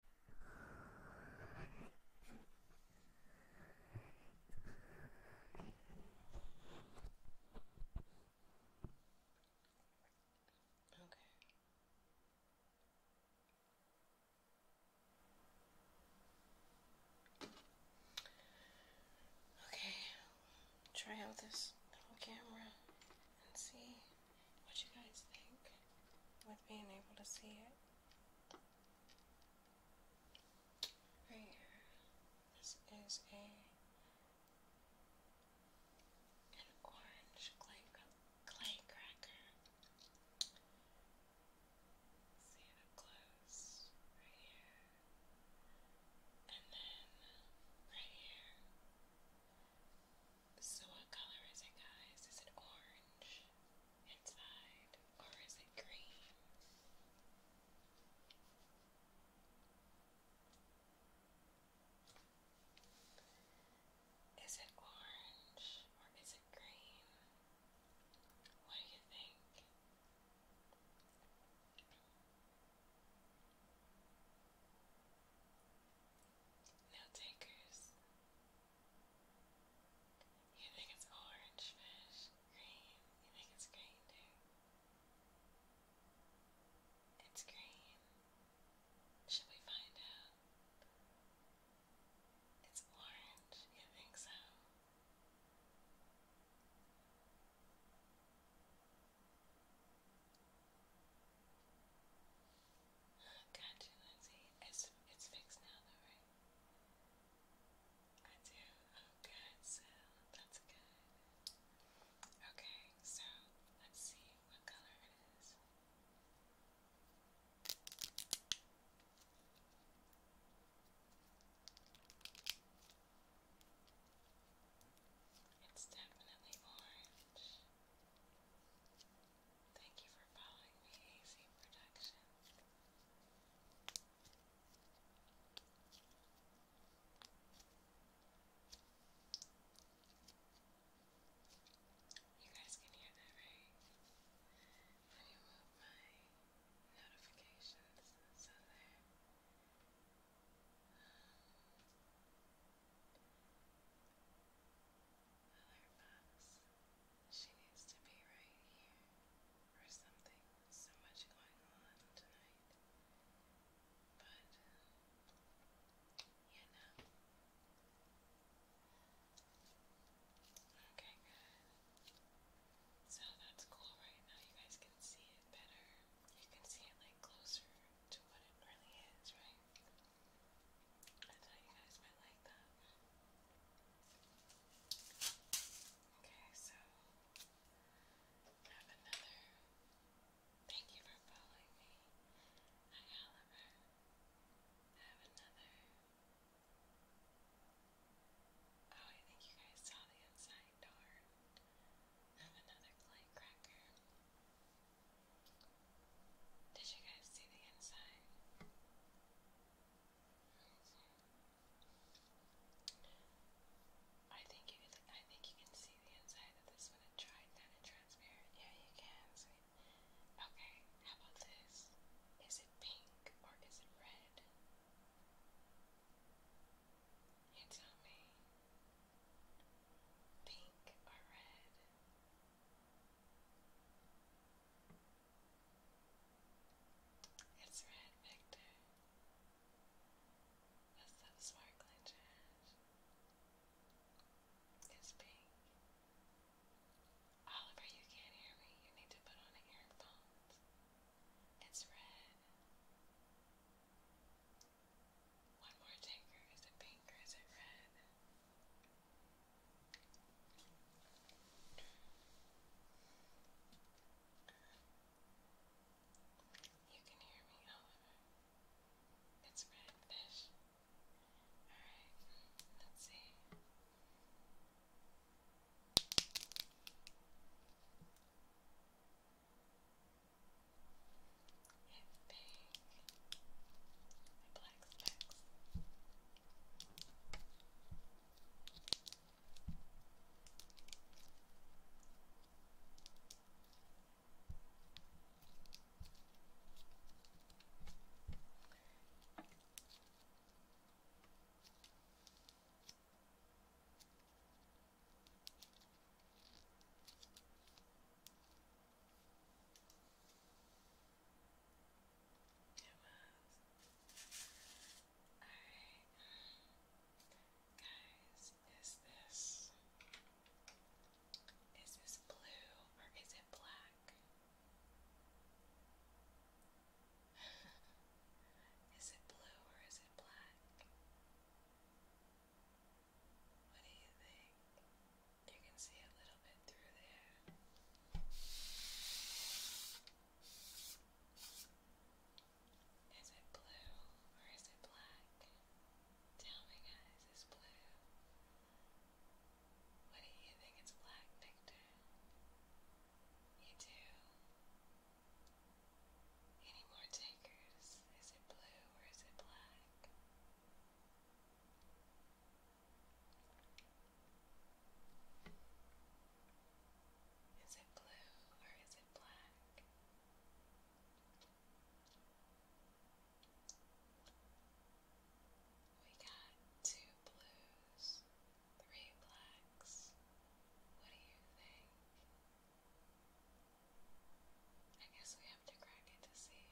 Okay. Okay, try out this little camera and see what you guys think with being able to see it. Right here, this is a an orange clay clay cracker. See it up close, right here, and then right here. So what color is it guys? Is it orange inside or is it green? Is it orange or is it green? What do you think? No takers. You think it's orange fish? Green? You think it's green too? It's green. Should we find out? It's orange. You think so? Gotcha, Lindsay. It's, it's fixed now though, right? I good, so that's good. Okay, so let's see what color it is. It's definitely orange. Thank you for following me, AC Productions. You guys can hear that, right? Let me move my notifications so there. Um, she needs to be right here or something. So much going on tonight. But, you know. Okay, good. So that's cool right now. You guys can see it better. You can see it like closer to what it really is, right? Okay, so have another. Thank you for following me. Hi, Oliver. have another. Oh, I think you guys saw the inside door. have another clay cracker. Did you guys see the inside? I think you can. I think you can see the inside of this one. I tried that and transparent. Yeah, you can. Okay. How about this? Is it pink or is it red? You tell me. Pink or red? It's red, Victor. That's that sparkling trash. It's pink. Oliver, you can't hear me. You need to put on earphones. It's red. One more tinker. Is it pink is it red? You can hear me, however. It's redfish. Alright, let's see and pink and black specs. It was. Guys, is this is this blue or is it black? is it blue or is it black? What do you think? You can see a little bit through there. Is it blue or is it black? Tell me guys, it's blue. What do you think it's black, Victor? You do? Any more takers? Is it blue or is it black? Is it blue or is it black? We got two blues, three blacks. What do you think? I guess we have to crack it to see,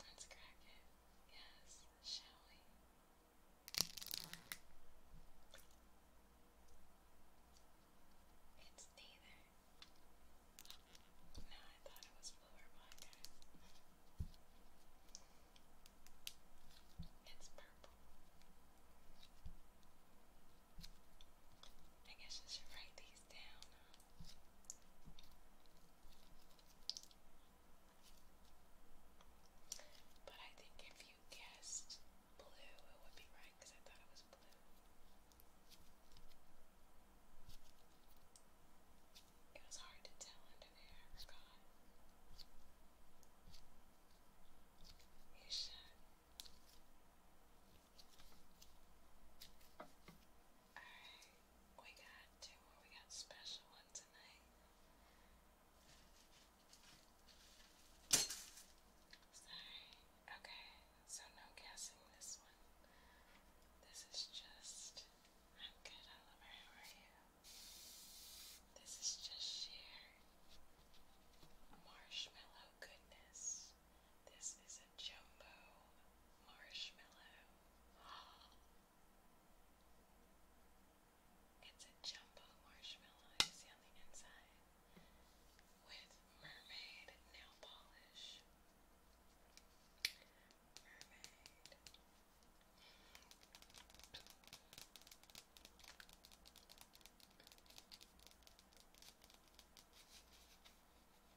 Let's crack it. Yes, shall we? It's neither. No, I thought it was blue or black. It's purple. I guess I should write these down. But I think if you guessed blue, it would be right because I thought it was blue. It was hard to tell under there, I forgot. You should. Alright, we got two more. We got special ones tonight. Okay, so no guessing this one. This is just. I'm good, Oliver. How are you? This is just sheer marshmallow goodness. This is a jumbo marshmallow. It's a jumbo marshmallow, see on the inside, with mermaid nail polish. Mermaid.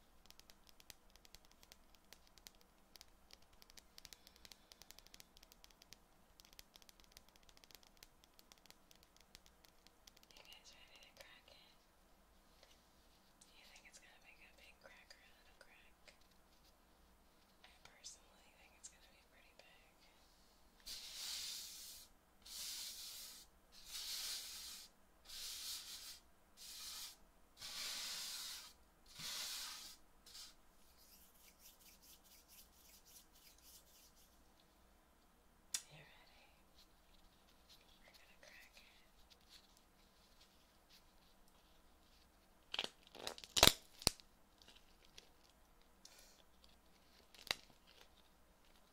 You guys ready to crack it? You think it's gonna make a big crack or a little crack? I personally think it's gonna be pretty big. You're ready. We're gonna crack it.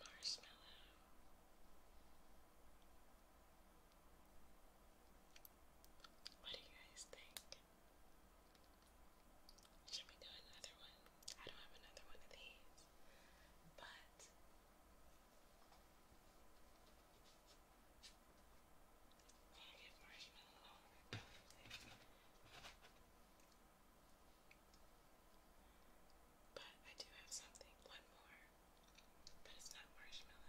Marshmallow. What do you guys think? Should we do another one? I don't have another one of these, but i do have something, one more, but it's not marshmallow.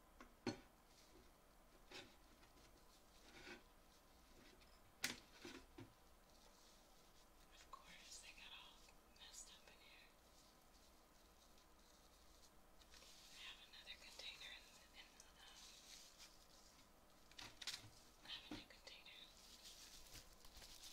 Of course, they got all messed up in here. I have another container in the, in the um, I have a new container. It's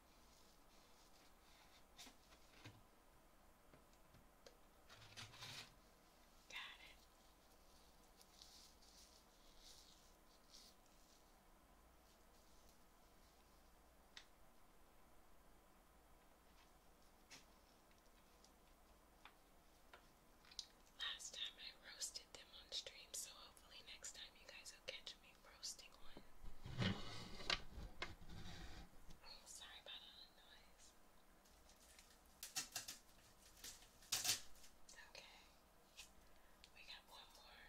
Got it. Last time I roasted them on stream, so hopefully next time you guys will catch me roasting one. sorry about all the noise. Okay, we got one more,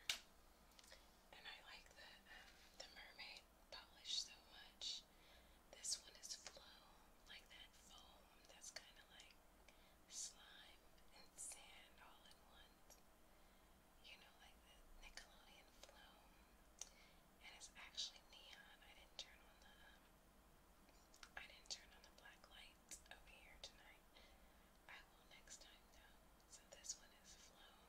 and I like the um, the mermaid polish so much. This one is flow, like that foam that's kind of like slime and sand all in one. You know, like the Nickelodeon flow and it's actually neon. I didn't turn on the I didn't turn on the black lights over here tonight. I will next time though. So this one is flown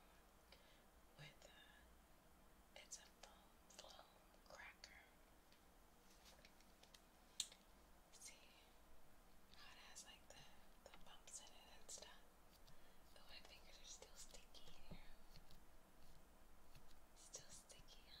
with uh, it's a flown cracker. See it has like the the bumps in it and stuff. Oh, my fingers are still sticky here. Still sticky, huh?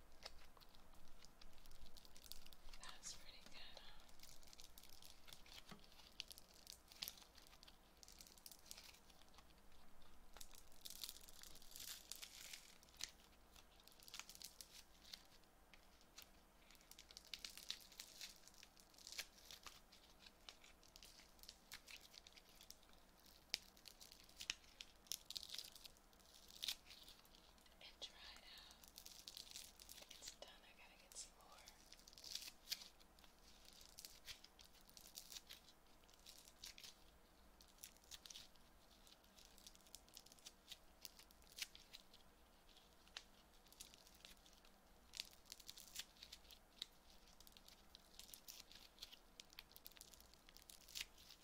That's pretty good, huh? and try it out. It's done. I gotta get some more.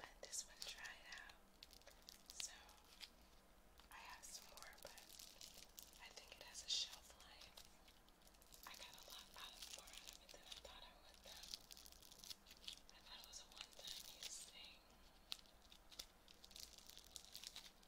Let this one dry out. So I have some more, but I think it has a shelf life. I got a lot more out of it than I thought I would though. was a one-time use thing.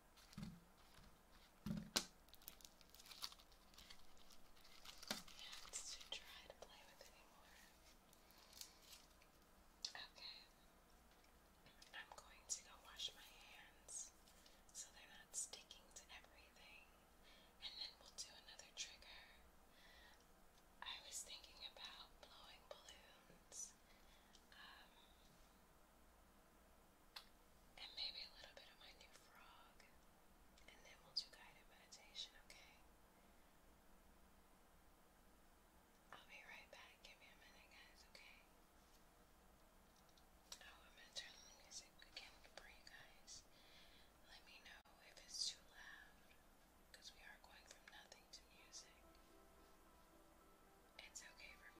Yeah, it's too dry to play with anymore. Okay. I'm going to go wash my hands so they're not sticking to everything. And then we'll do another trigger. I was thinking about blowing balloons. Um, and maybe a little bit of my new frog, and then we'll do guided meditation, okay? I'll be right back. Give me a minute, guys, okay? Oh, I'm gonna turn the music again for you guys. Let me know if it's too loud, because we are going from nothing to music. It's okay for me.